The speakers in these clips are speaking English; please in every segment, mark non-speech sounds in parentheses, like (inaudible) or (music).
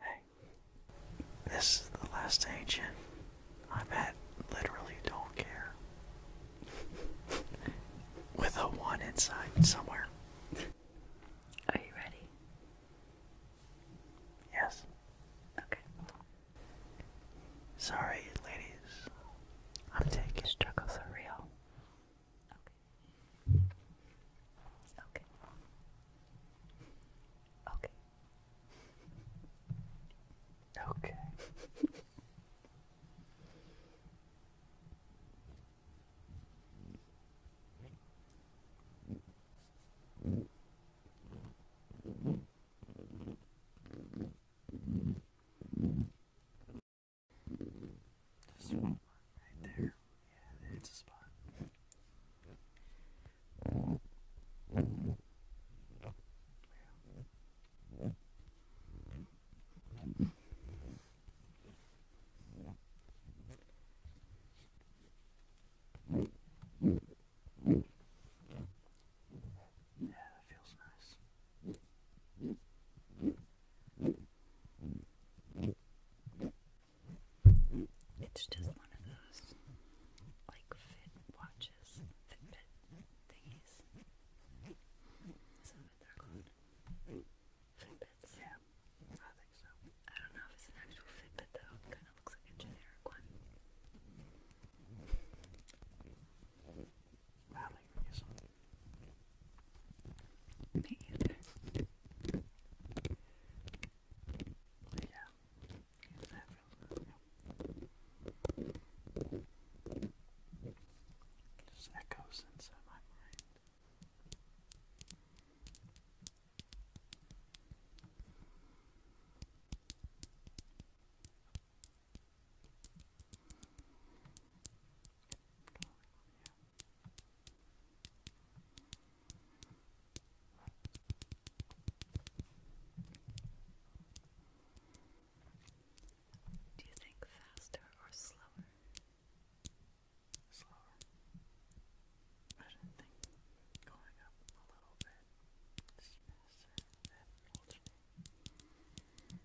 Hey, this is the last agent I've Literally, don't care. (laughs) With a one inside somewhere. Are you ready? Yes. Okay. Sorry, ladies. I'm taking struggle for real. Okay. Okay. Okay. Okay. Just one right there. Yeah, it's a spot. Yeah. Yeah, feels nice. It's just one of those like fit watches, Fitbit thingies. Is they're called? Fitbits? Yeah, I don't know if it's an actual Fitbit though. kind of looks like a generic one. Yeah. Exactly. echoes inside my mind. Do you think faster or slower? Slower. I didn't think going up a little bit is faster than alternating. Okay.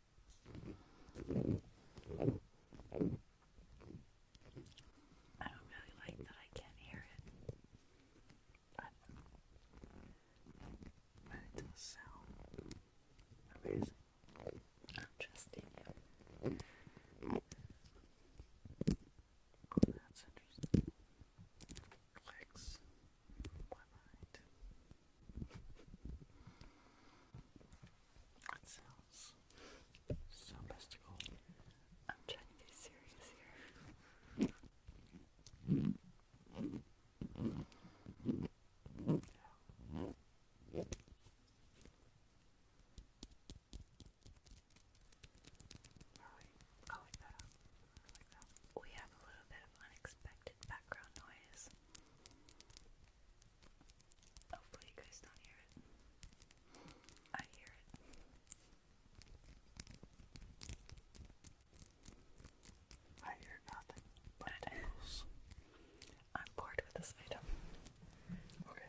I don't really like that I can't hear it. But, but it does sound amazing. i oh, that's interesting. Clicks. My I'm trying to be serious here. We have a little bit of unexpected background noise. Hopefully, you guys don't hear it. I hear it. I hear nothing but tingles. (laughs) I'm bored with this item. Okay.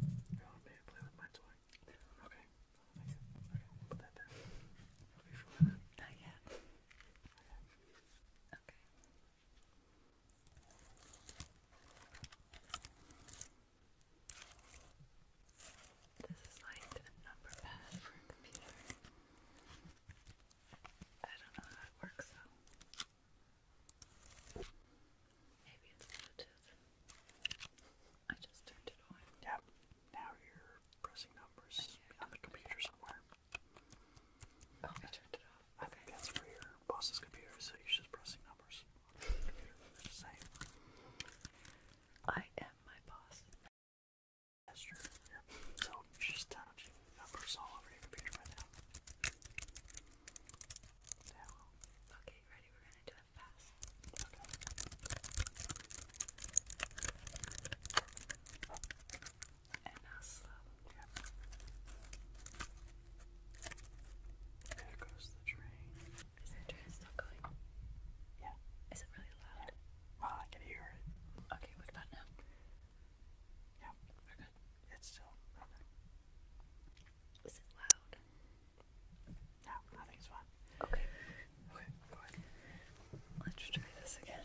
You want me to play with my toy? Okay. Okay, put that down. Not yet. Okay. This is like a number pad for a computer. I don't know how it works though. Maybe it's Bluetooth. I just turned it on. Yep. Now you're pressing numbers on the computer somewhere. Oh, I think that's for your boss's computer, so you're just pressing numbers same. I am my boss. That's true. So you're just touching numbers all over your computer right now. Okay, ready? We're gonna do it fast and now slow. Yep. There goes the train. Is the train still going? Yeah. Is it really loud? Well, I can hear it. Okay, what about now? Yeah. We're good. It's still running. it loud? No, I think Okay. Okay, go ahead. Let's try this again.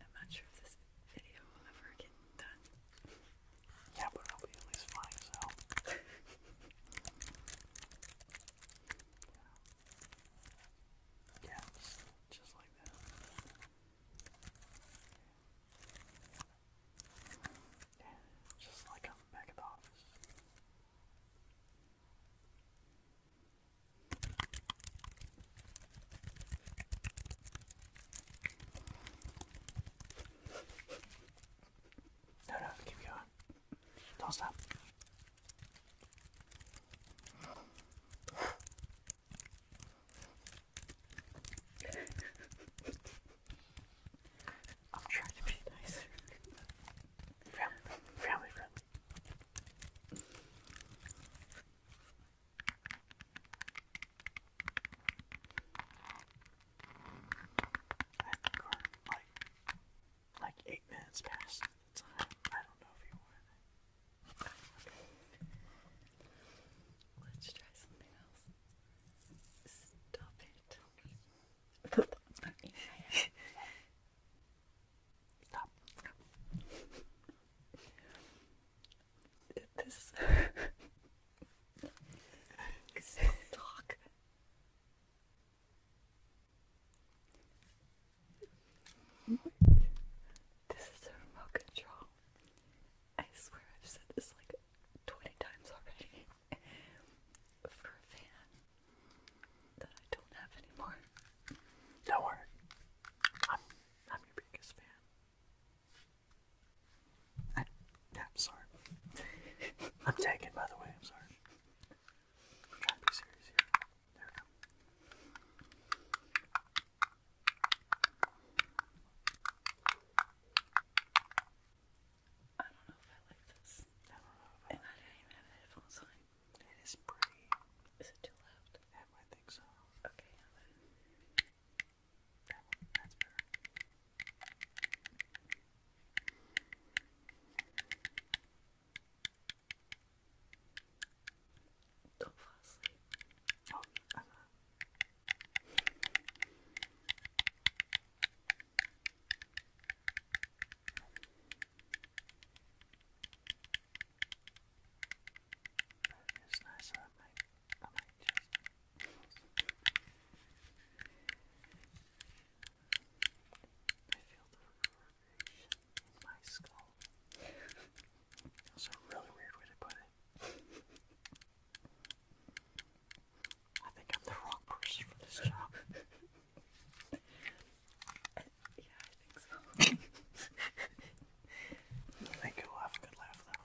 I'm not sure if this video will ever get done. Yeah, but it'll be at least flying, so. yeah. yeah, just like that. Yeah, just like I'm back at the office. No, no, keep going. Don't stop. I'm trying to be nice. Family, family friendly like like eight minutes passed. I don't know if you want Let's try something else. Stop it. Stop this talk. This is a remote control. I swear I've said this like 20 times already for a fan that I don't have anymore. Don't worry. I'm I'm your biggest fan. I, I'm sorry. I'm taken, by the way. I'm sorry. i don't know if I like this. I don't know And I didn't even have headphones on. It is pretty. Is it too loud? I think so. Okay, that one, that's better. Don't fall asleep. Oh, I'm not. But That's a really weird way to put it. I think I'm the wrong person for this job. (laughs) yeah, I think so. I think you have a good laugh though.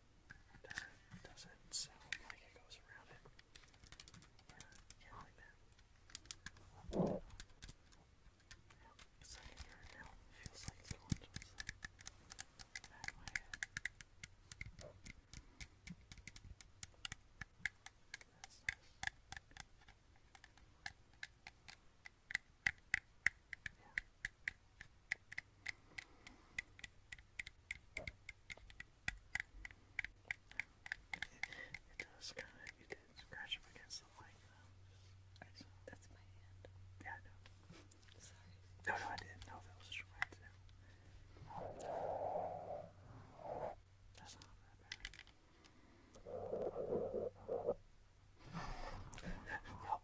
It doesn't sound like it goes around it. Yeah, like that. Now, it's feels like it's going to the back of That's nice. Yeah. It does kind of, you did scratch up against the light though. That's my hand. Yeah, I know. Sorry. No, no, I didn't know that was just right That's not that bad.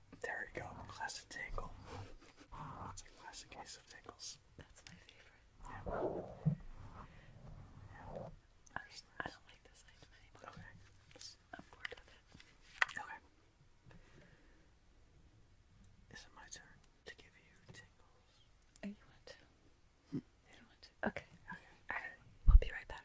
(laughs) There you go. Classic tangle. It's a classic case of tangles. That's my favorite. Yeah. I, don't like this I'm bored with it. Okay. Is it my turn to give you tingles? Oh, you want hmm. You want Okay. Okay. We'll be right back.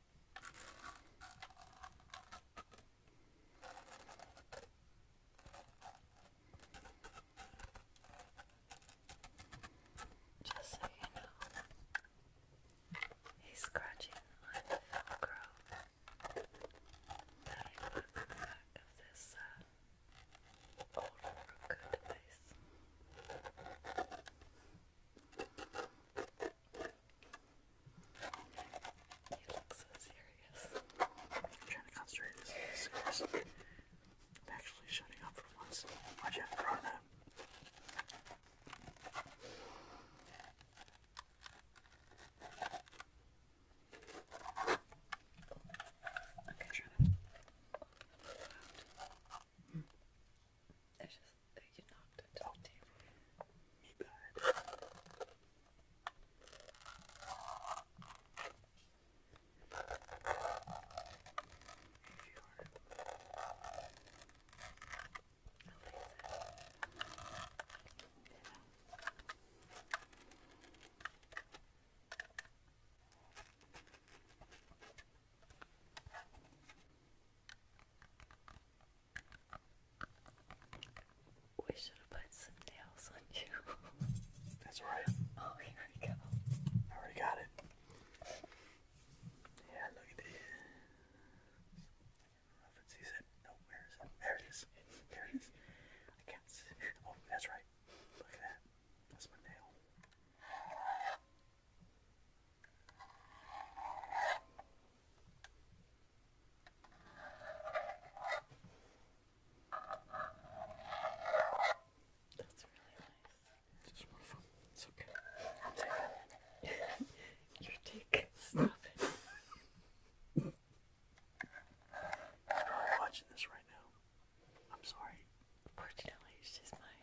Just so you know, he's scratching on the Velcro that I the back of this old Roku device. You look so serious. I'm trying to concentrate. This I'm actually shutting up for once. Why'd you have to draw Okay. Try I just you knocked it off the Me we should have put some nails on you. That's right. (laughs) Oh, here we go. I already got it. Yeah, look at this. I not know it. No, where is it? There it is. There it is. I can't see. Oh, that's right. Look at that. That's my nail. That's really nice. Just one of It's okay. I'll (laughs) dick. Stop it. You're watching this right now. I'm sorry. Fortunately, she's mine.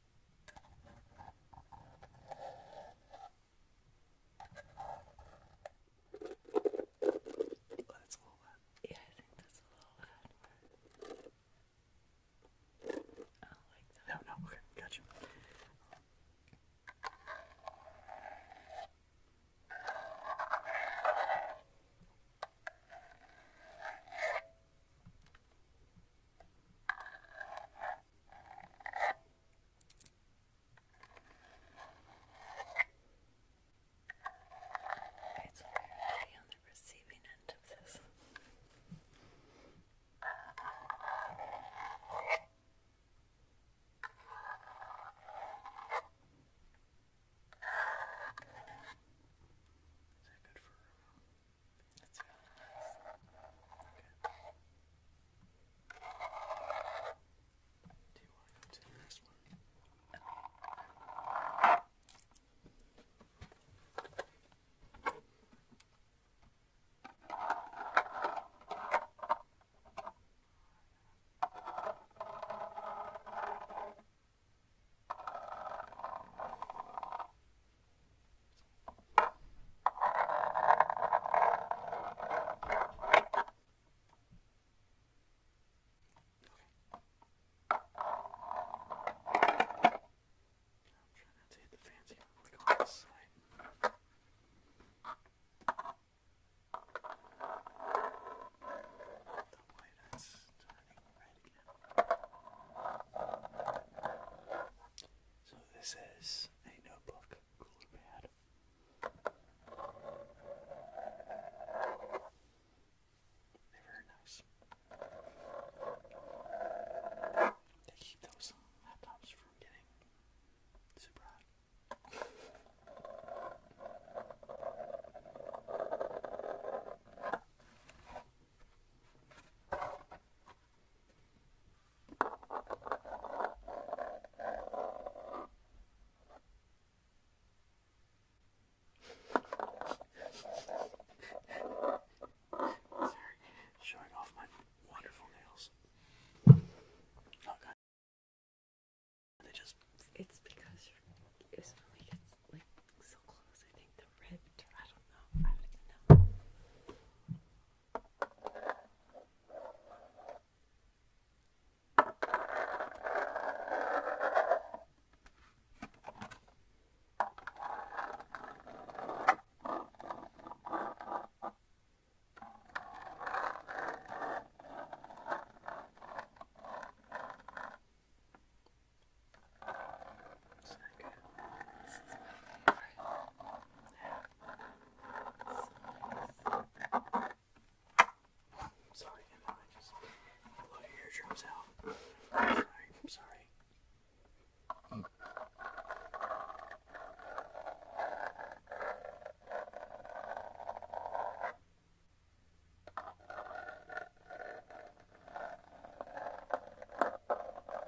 Oh, that's a little loud. Yeah, I think that's a little loud. I don't like that. No, no, okay, gotcha. It's weird to be on the receiving end of this. Is that good for uh, that's really nice. Okay. Do you want to go to the next one? Okay. Okay trying not to hit the fancy one. We're going this side. The white is turning red again. So this is a notebook cooler pad. They're very nice. They keep those laptops from getting super hot. Sorry, showing off my wonderful nails. Okay. Oh, they just. It's because it's when we get like so close. I think the red. I don't know. I don't even know. This is my favorite. I have Sorry, and then I just blew your eardrums out. I'm sorry, I'm sorry. Mm.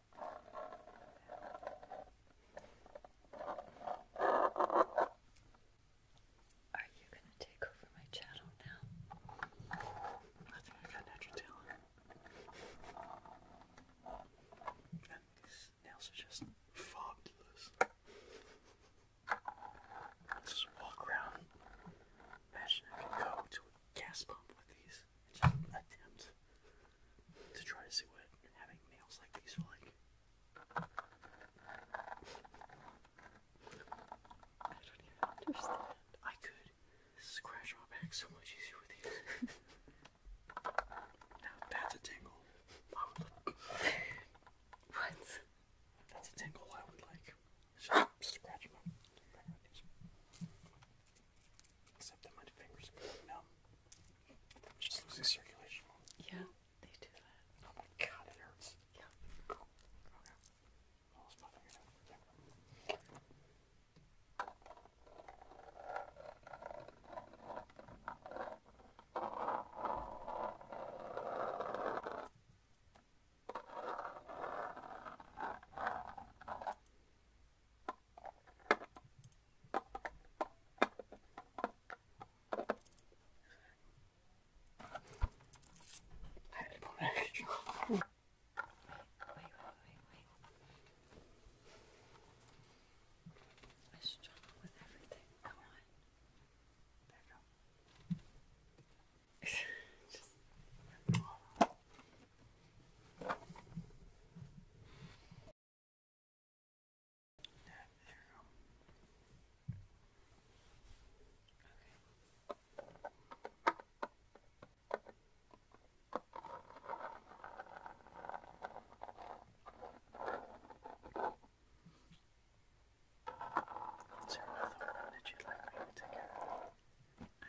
Are you gonna take over my channel now? I think I got natural talent. these nails are just fabulous. Let's just walk around. Imagine I could go to a gas pump with these just attempt to try to see what having nails like these are like. I don't even understand. I could scratch my back so much easier with these. now that's a tingle. what? That's a tingle I would like. Just scratch my back with these. Except that my fingers are numb. I'm just losing circulation. Yeah, they do that. Oh my god, it hurts. Yeah wait, wait, wait, wait. I struggle with everything. Come on. There you go. Just rip it all off. Yeah, there you another one that you like me to I don't know,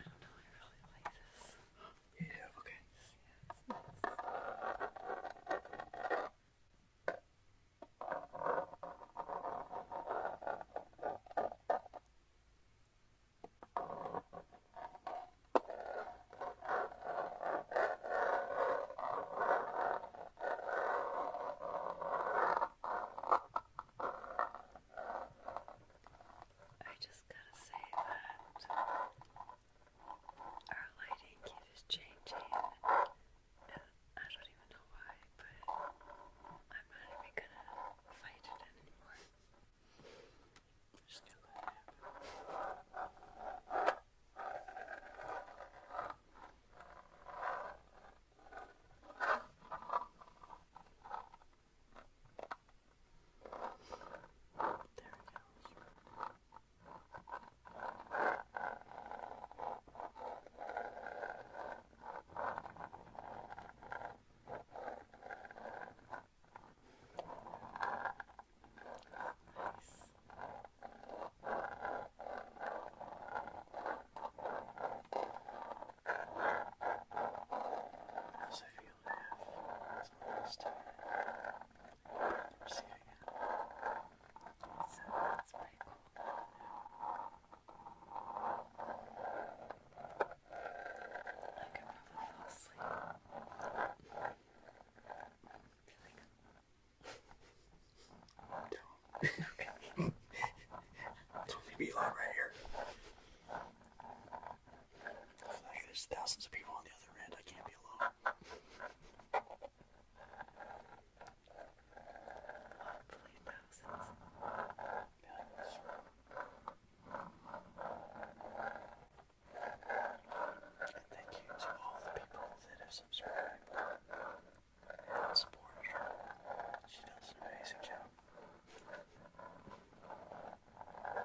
I really like this. Yeah, okay. I just gotta say that our lighting keeps changing. I don't even know why, but I'm not even gonna fight it anymore. Just gonna let it happen. There we go. Nice. As I feel it, it's almost time i I could probably fall asleep. Don't. Don't alone right here. Like, there's thousands of people on the other end. I can't be alone. Hopefully thousands. Millions. And thank you to all the people that have subscribed and supported her. She does an amazing job.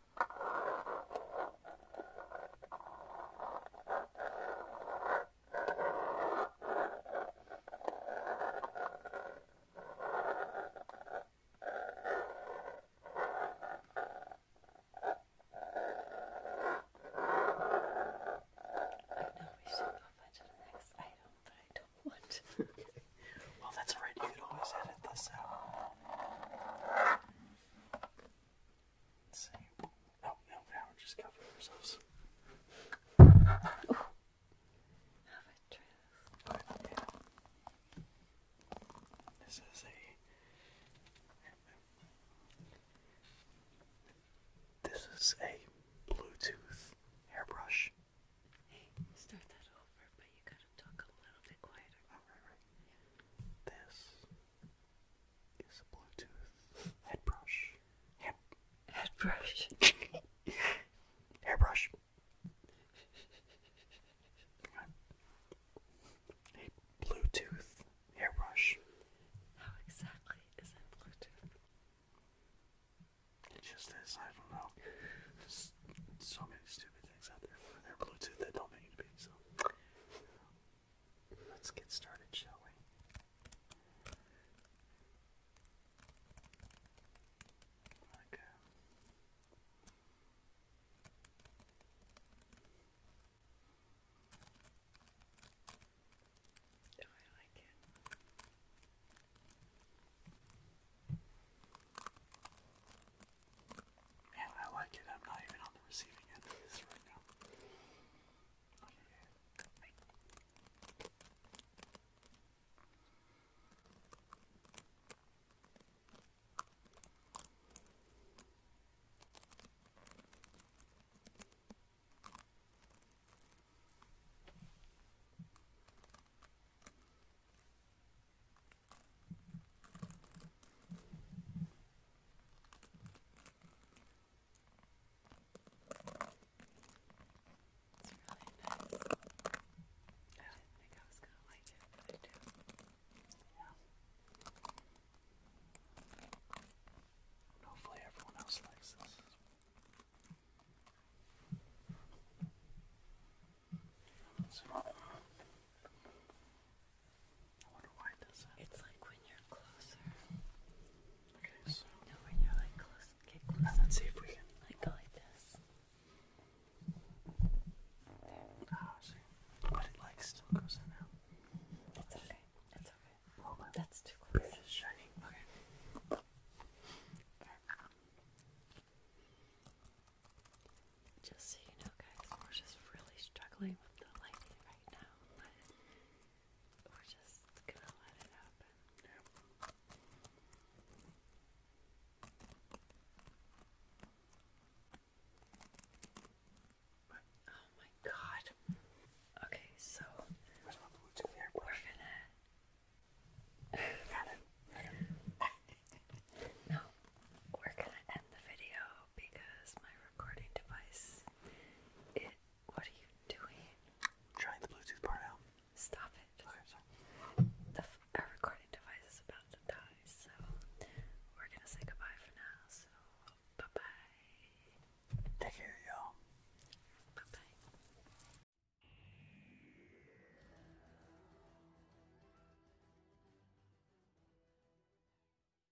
know we should go on to the next item, but I don't want to. well, that's all right. You could always edit this out. Let's see. Oh, no, now just covering ourselves. Oh. This is a. This is a Bluetooth airbrush. Hey, start that over, but you gotta talk a little bit quieter. This is a Bluetooth head Head, head Hairbrush. A (laughs) Bluetooth hairbrush. How exactly is it Bluetooth? It just is, I don't know. so many stupid things out there for their Bluetooth that don't make it be Let's get started, shall we? Like oh, I like it. Man, I like it. I'm not even on the receiving end of this right now. It's really nice. I didn't think I was going to like it, but I do. Yeah. hopefully everyone else likes this. let it's like when you're closer. Okay, like, so. when you're like close, get closer. Let's see if we can. Like like this. Ah, see. But it like still goes now. It's okay. It's okay. That's too close. It's shiny. Okay. Just so you know, guys, we're just really struggling with the lighting right now we're just gonna let it happen. oh my god. Okay, so We're gonna it. (laughs) no, we're gonna end the video because my recording device, it, what are you doing? I'm trying the Bluetooth part out. Stop it. our recording device is about to die, so we're gonna say goodbye for now, so bye-bye. Take care, y'all. Bye-bye.